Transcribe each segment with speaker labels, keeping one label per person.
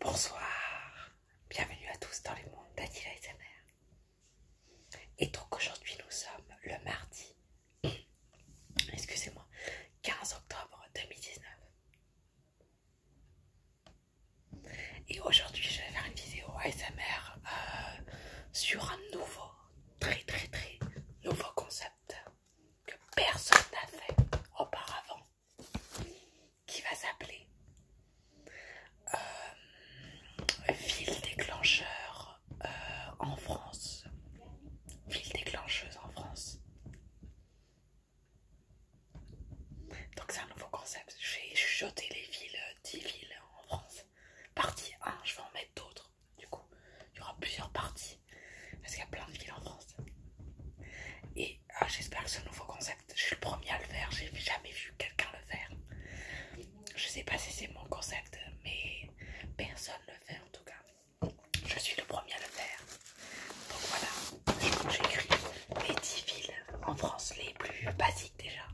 Speaker 1: Bonsoir, bienvenue à tous dans les mondes d'Attila et sa mère. Et donc aujourd'hui nous sommes le mardi, excusez-moi, 15 octobre 2019. Et aujourd'hui je vais faire une vidéo ASMR euh, sur un nouveau, très très très nouveau concept que personne n'a fait auparavant qui va s'appeler euh, Ville déclencheur euh, en France. Ville déclencheuse en France. Donc c'est un nouveau concept. J'ai vais les villes, 10 euh, villes en France. Partie 1, je vais en mettre d'autres. Du coup, il y aura plusieurs parties. Parce qu'il y a plein de villes en France. Et ah, j'espère que ce nouveau concept, je suis le premier à le faire, j'ai jamais vu quelqu'un le faire. Je sais pas si c'est mon concept, mais personne le fait en tout cas. Je suis le premier à le faire. Donc voilà, j'écris les 10 villes en France les plus basiques déjà.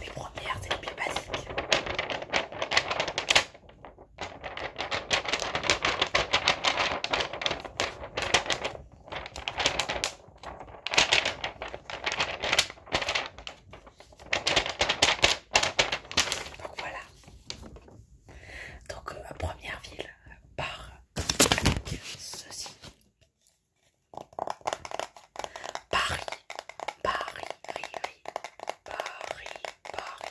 Speaker 1: Les premières, c'est les plus basiques. Donc voilà. Donc euh, première ville par ceci. Paris, Paris, Paris, Paris, Paris,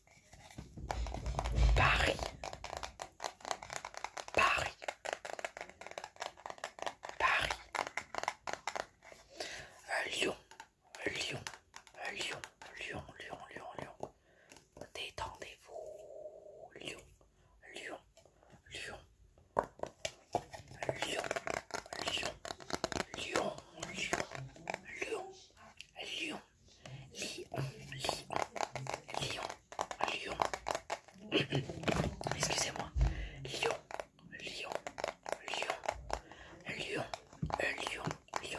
Speaker 1: Paris. Paris. Paris. Euh, Lyon. Euh, Lyon. Euh, Lyon. Lyon. Lyon. Lyon. Lyon. Détendez-vous. Lyon. Lyon. Lyon. Lyon. Lyon. Lyon. Lyon. Lyon lion lion lion lion lion Excusez-moi. lion lion lion lion lion lion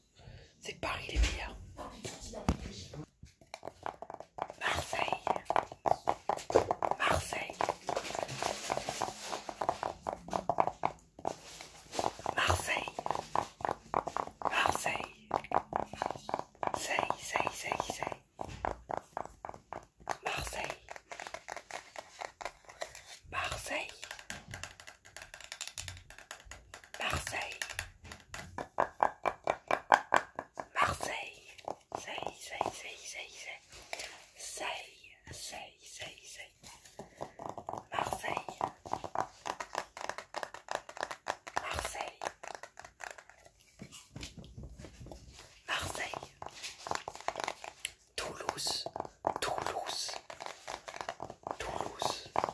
Speaker 1: c'est Paris les meilleurs. Marseille. Marseille. Marseille. Marseille. Marseille. Marseille. Marseille. Marseille. Marseille. Marseille. Marseille. Toulouse. Toulouse. Toulouse.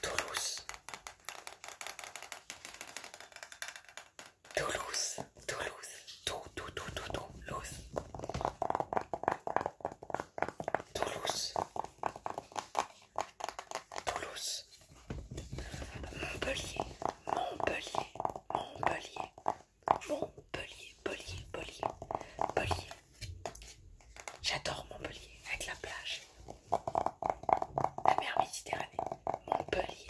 Speaker 1: Toulouse. Toulouse, Toulouse, Toulouse. Toulouse. Montpellier, Montpellier, Montpellier. Montpellier, Montpellier, Montpellier, Montpellier. J'adore Montpellier avec la plage, la mer Méditerranée. Montpellier,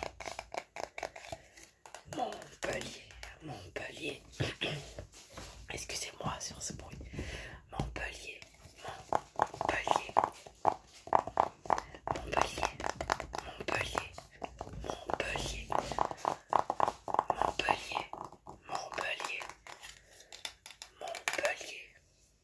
Speaker 1: Montpellier, Montpellier. Excusez-moi sur ce bruit. Montpellier, Montpellier, Montpellier, Montpellier, Montpellier, Montpellier, Montpellier, Montpellier.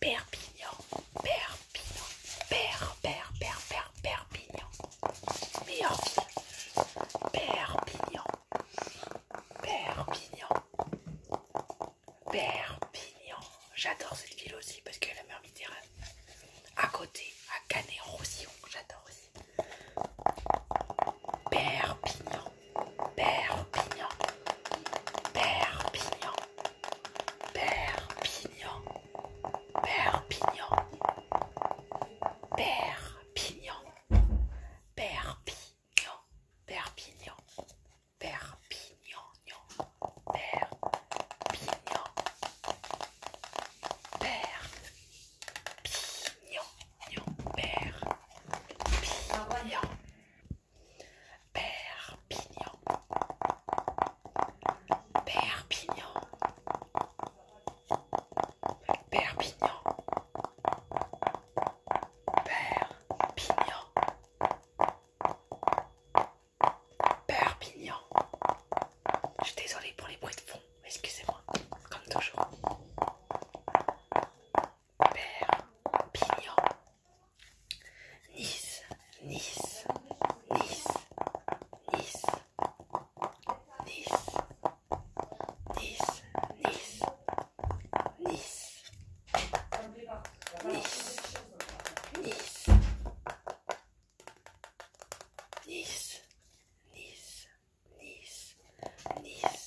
Speaker 1: Perpignan, Perpignan, Père, Père, Per, Perpignan. Perpignan, Perpignan, Perpignan. J'adore cette ville aussi parce qu'elle a la mer Méditerranée. À côté, à Canet-Roussillon, j'adore aussi. Perpignan, Perpignan, Perpignan, Perpignan, pignon Perpignan, pignon per pignon Perpignan, pignon, pignon. Perpignan. Perpignan. Perpignan. Perpignan. Perpignan. Je suis désolée pour les bruits de fond, excusez-moi, comme toujours. Perpignan. Nice, Nice, Nice, Nice, Nice, Nice, Nice, Nice, Nice, Nice, Nice, Nice, Nice, Nice,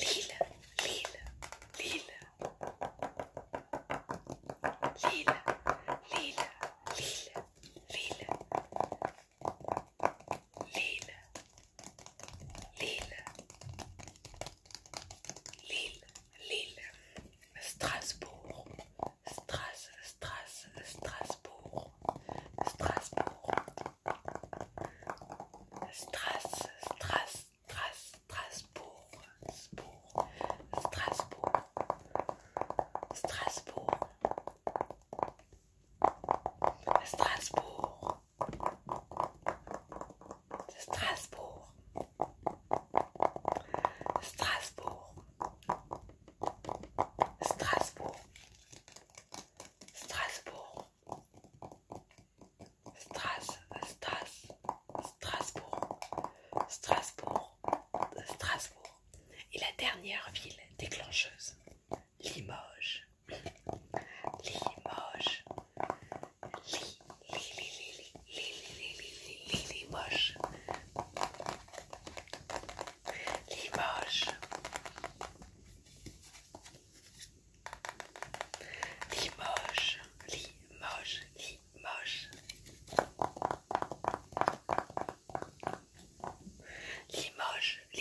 Speaker 1: Lila, lila, lila. Lila, lila, lila, lila. Lila, lila. Lille, Lille, Strasbourg, Stras, Stras, Strasbourg, Strasbourg, Stras, Stras, Stras, Strasbourg, Strasbourg, Strasbourg, Strasbourg, Strasbourg, Strasbourg, Strasbourg, Strasbourg. Strasbourg Stras, Stras, Strasbourg, Strasbourg, Strasbourg. Et la dernière ville déclencheuse, Limoges. Limoges. Li, li, Limoges. Limoges. Limoges, Limoges, Limoges. Limoges, Limoges.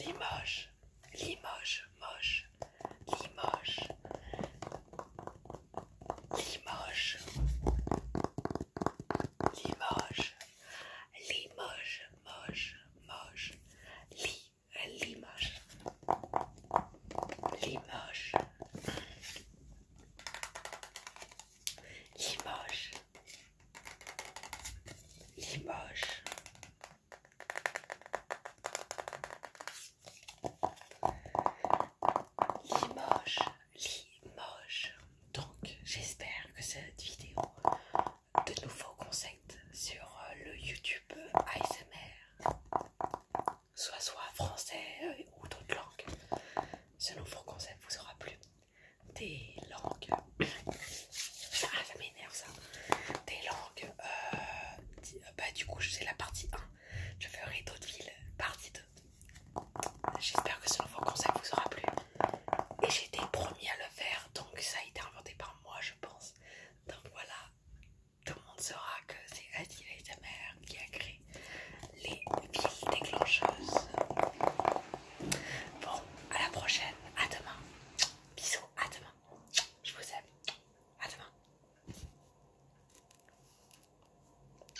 Speaker 1: Limoges, Limoges, Moche, Limoges, Limoges, Limoges, moche, moche, Li, Limoges, Limoges, Limoges, Limoges. Limoges, Limoges. Donc j'espère que cette vidéo de nouveaux concepts sur euh, le YouTube ASMR, soit soit français euh, ou d'autres langues, ce nouveau concept vous aura plu. Des langues, ah ça m'énerve ça, des langues, euh, bah du coup c'est la partie 1, je ferai d'autres villes, partie 2, J'espère que ce nouveau conseil vous aura plu. Et j'ai été promis à le faire, donc ça a été inventé par moi, je pense. Donc voilà, tout le monde saura que c'est Adil mère qui a créé les villes déclencheuses. Bon, à la prochaine, à demain. Bisous, à demain. Je vous aime. À demain.